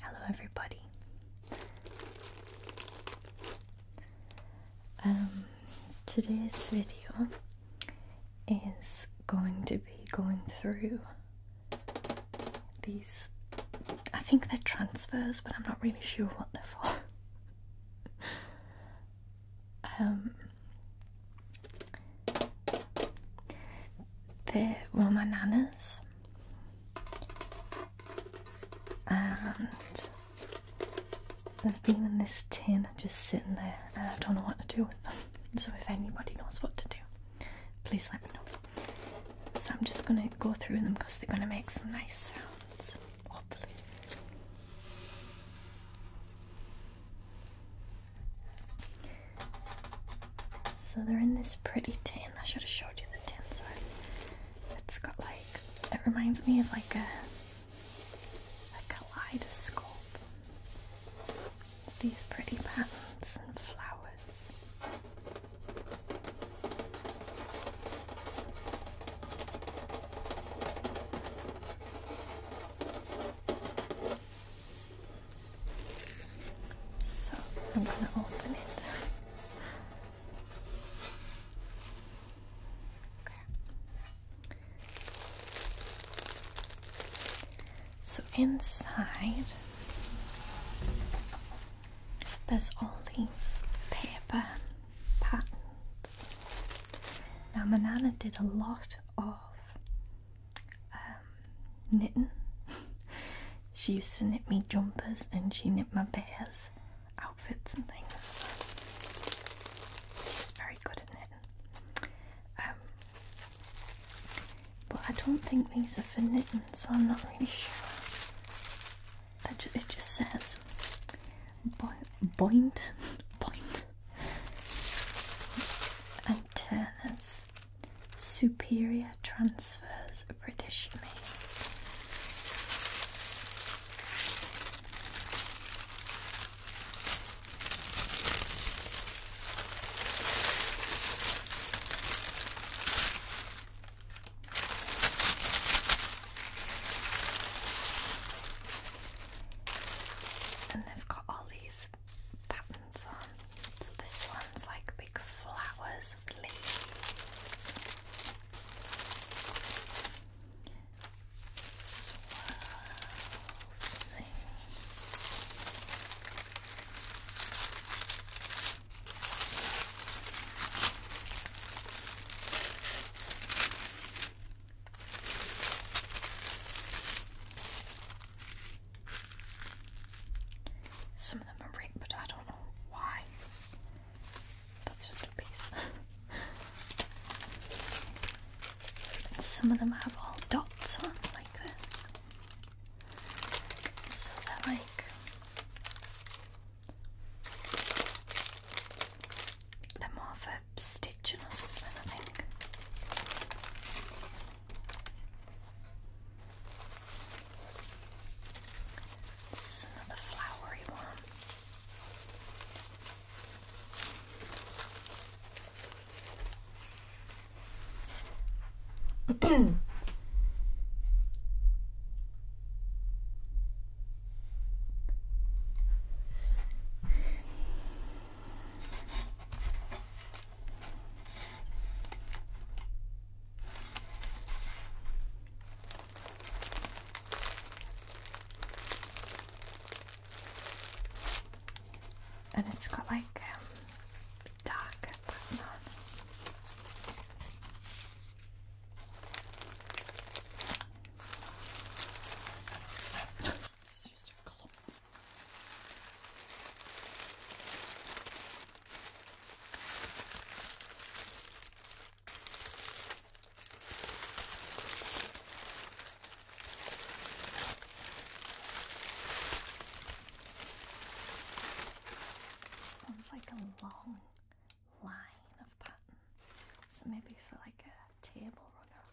Hello, everybody. Um, today's video is going to be going through these. I think they're transfers, but I'm not really sure what they're for. um, they the Romananas and they've been in this tin just sitting there and I don't know what to do with them. So if anybody knows what to do, please let me know. So I'm just gonna go through them because they're gonna make some nice sounds, hopefully. So they're in this pretty tin. I should have showed you the tin. Sorry, it's got like it reminds me of like a like a kaleidoscope. These pretty patterns and flowers. So I'm gonna open it. Okay. So inside there's all these paper patterns. Now Manana did a lot of um, knitting. she used to knit me jumpers and she knit my bears outfits and things. So she's very good at knitting. Um, but I don't think these are for knitting, so I'm not really sure. it just says bo and Turner's Superior Transfers British Mail. And they've got all these patterns on. So this one's like big flowers with leaves. Some of them are ripped, I don't know why. That's just a piece. some of them have all dots on, like this. So they're like. They're more for stitching or something, I think. This is another flowery one. And it's got like um, dark button on. It's just a clump. This one's like a long line of pattern. So maybe for like a table runner or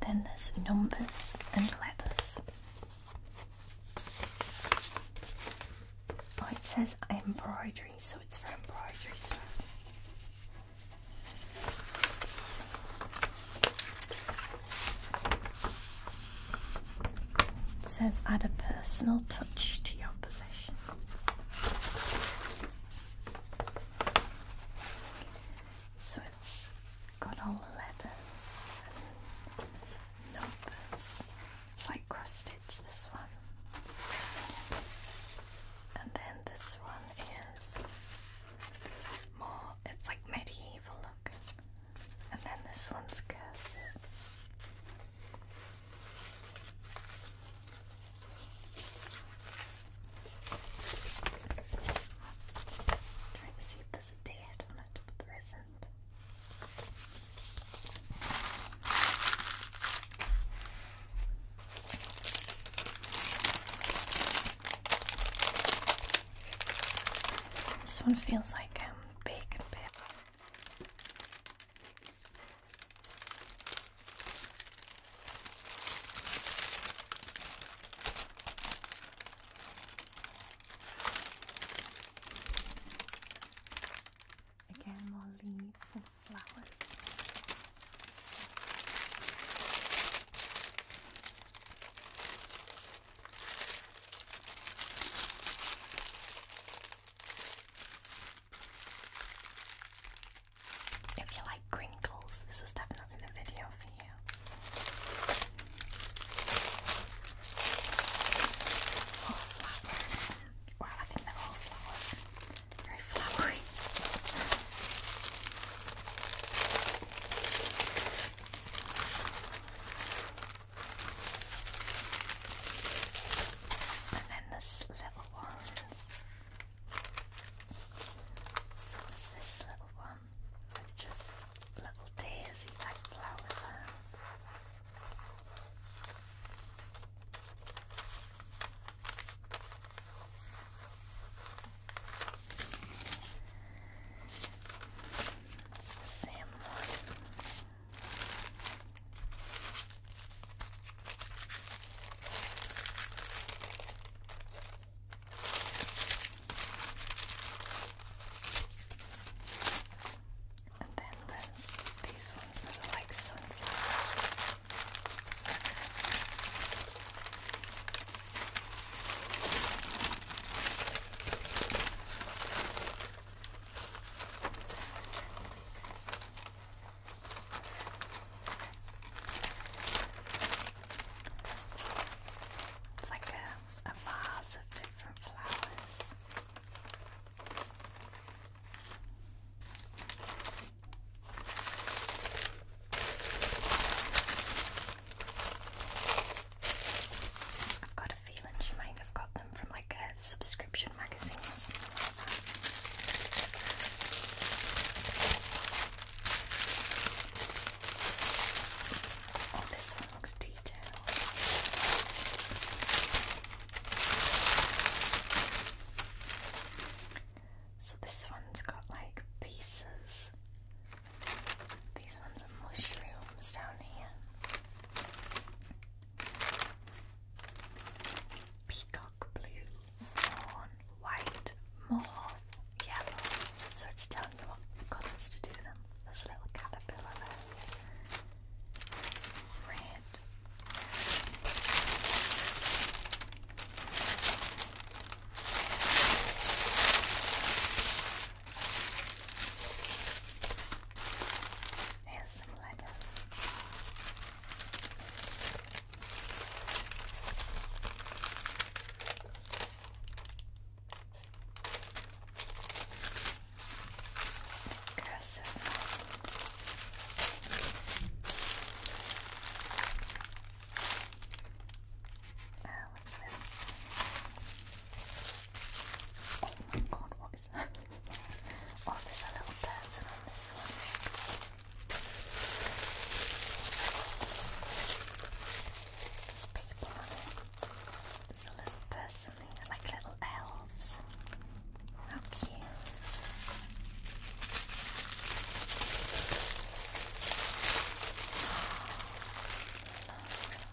Then there's numbers and letters. Oh, it says embroidery, so it's for embroidery stuff. It says add a personal touch to your possessions. So it's got all letters numbers. It's like cross stitch, this one. And then this one is more, it's like medieval looking. And then this one's cursive. Trying to see if there's a date on it, but there isn't. This one feels like um, bacon paper. Again, more leaves and flowers. If you like crinkles, this is definitely the video for you. All flowers. Well, I think they're all flowers. Very flowery. And then this little ones. So it's this little one with just little daisy like flowers It's the same one. And then there's these ones that are like sunflowers. It's like a, a vase of different flowers. I've got a feeling she might have got them from like a subscription magazine or something like that. Oh, this one looks detailed. So this one's got like pieces these ones are mushrooms down here. Peacock blue, fawn, white, mauve, yellow. So it's telling you what colours to do them. There's a little caterpillar Red. Here's some lettuce. Cursive oh, what's this? Oh there's a little person on this one. There's people on it. There's a little person like little elves. How cute. Oh,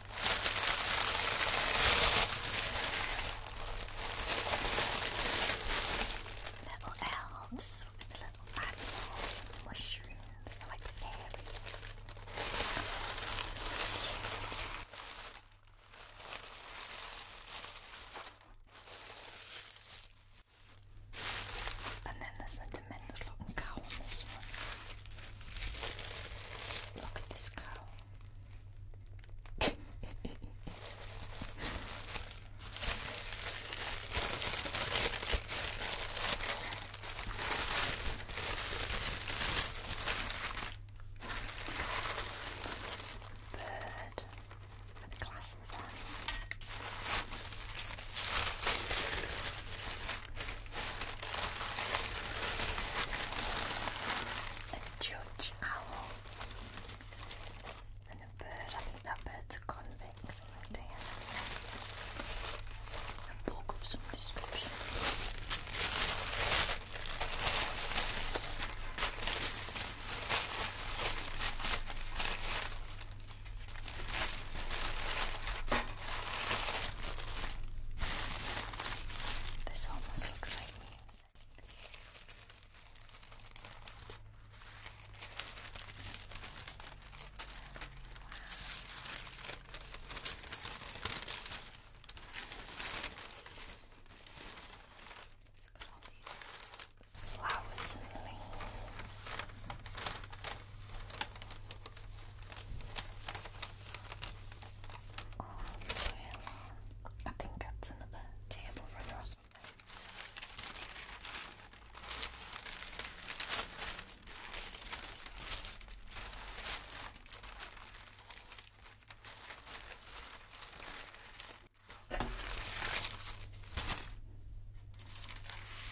Little elves with little animals mushrooms. they like fairies. So cute. And then this one tremendous looking cow on this one. Look at this cow. Bird with glasses on a judge owl, and a bird. I think that bird's a convict. a book of some description. This almost looks like music. It's got all these flowers and leaves. Oh, well, I think that's another table runner or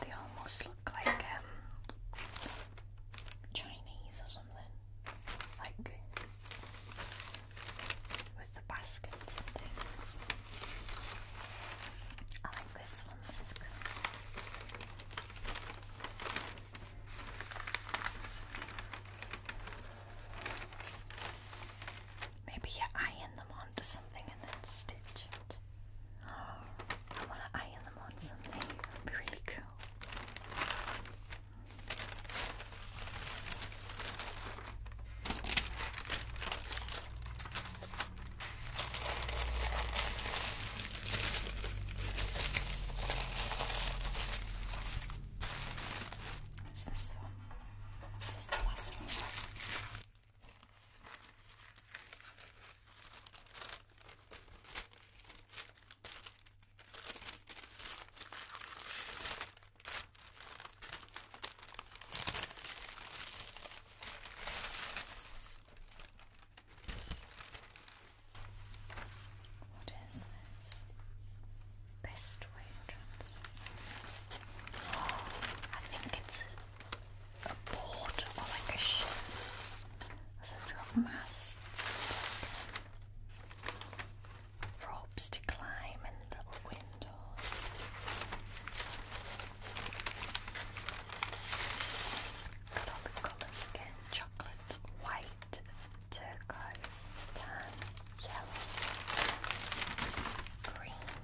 They almost look like um, Chinese or something. Like with the baskets and things. I like this one, this is cool. Maybe you iron them onto something and then stitch it. Oh, I want to iron them on something. really cool. What's this one? This is the last one. What is this? Best way to transfer? I think it's a boat or oh like a ship. So it's got masts ropes to climb and little windows. It's got all the colours again, chocolate, white, turquoise, tan, yellow, green.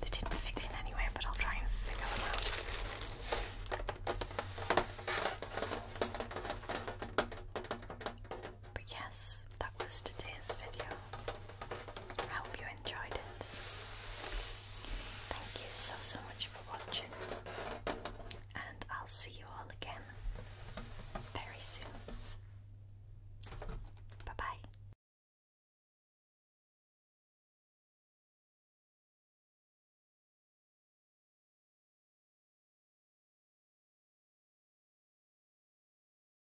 They didn't fit in anywhere, but I'll try and figure them out. But yes, that was today's video. I hope you enjoyed it. Thank you so, so much for watching. And I'll see you all again very soon. Bye bye.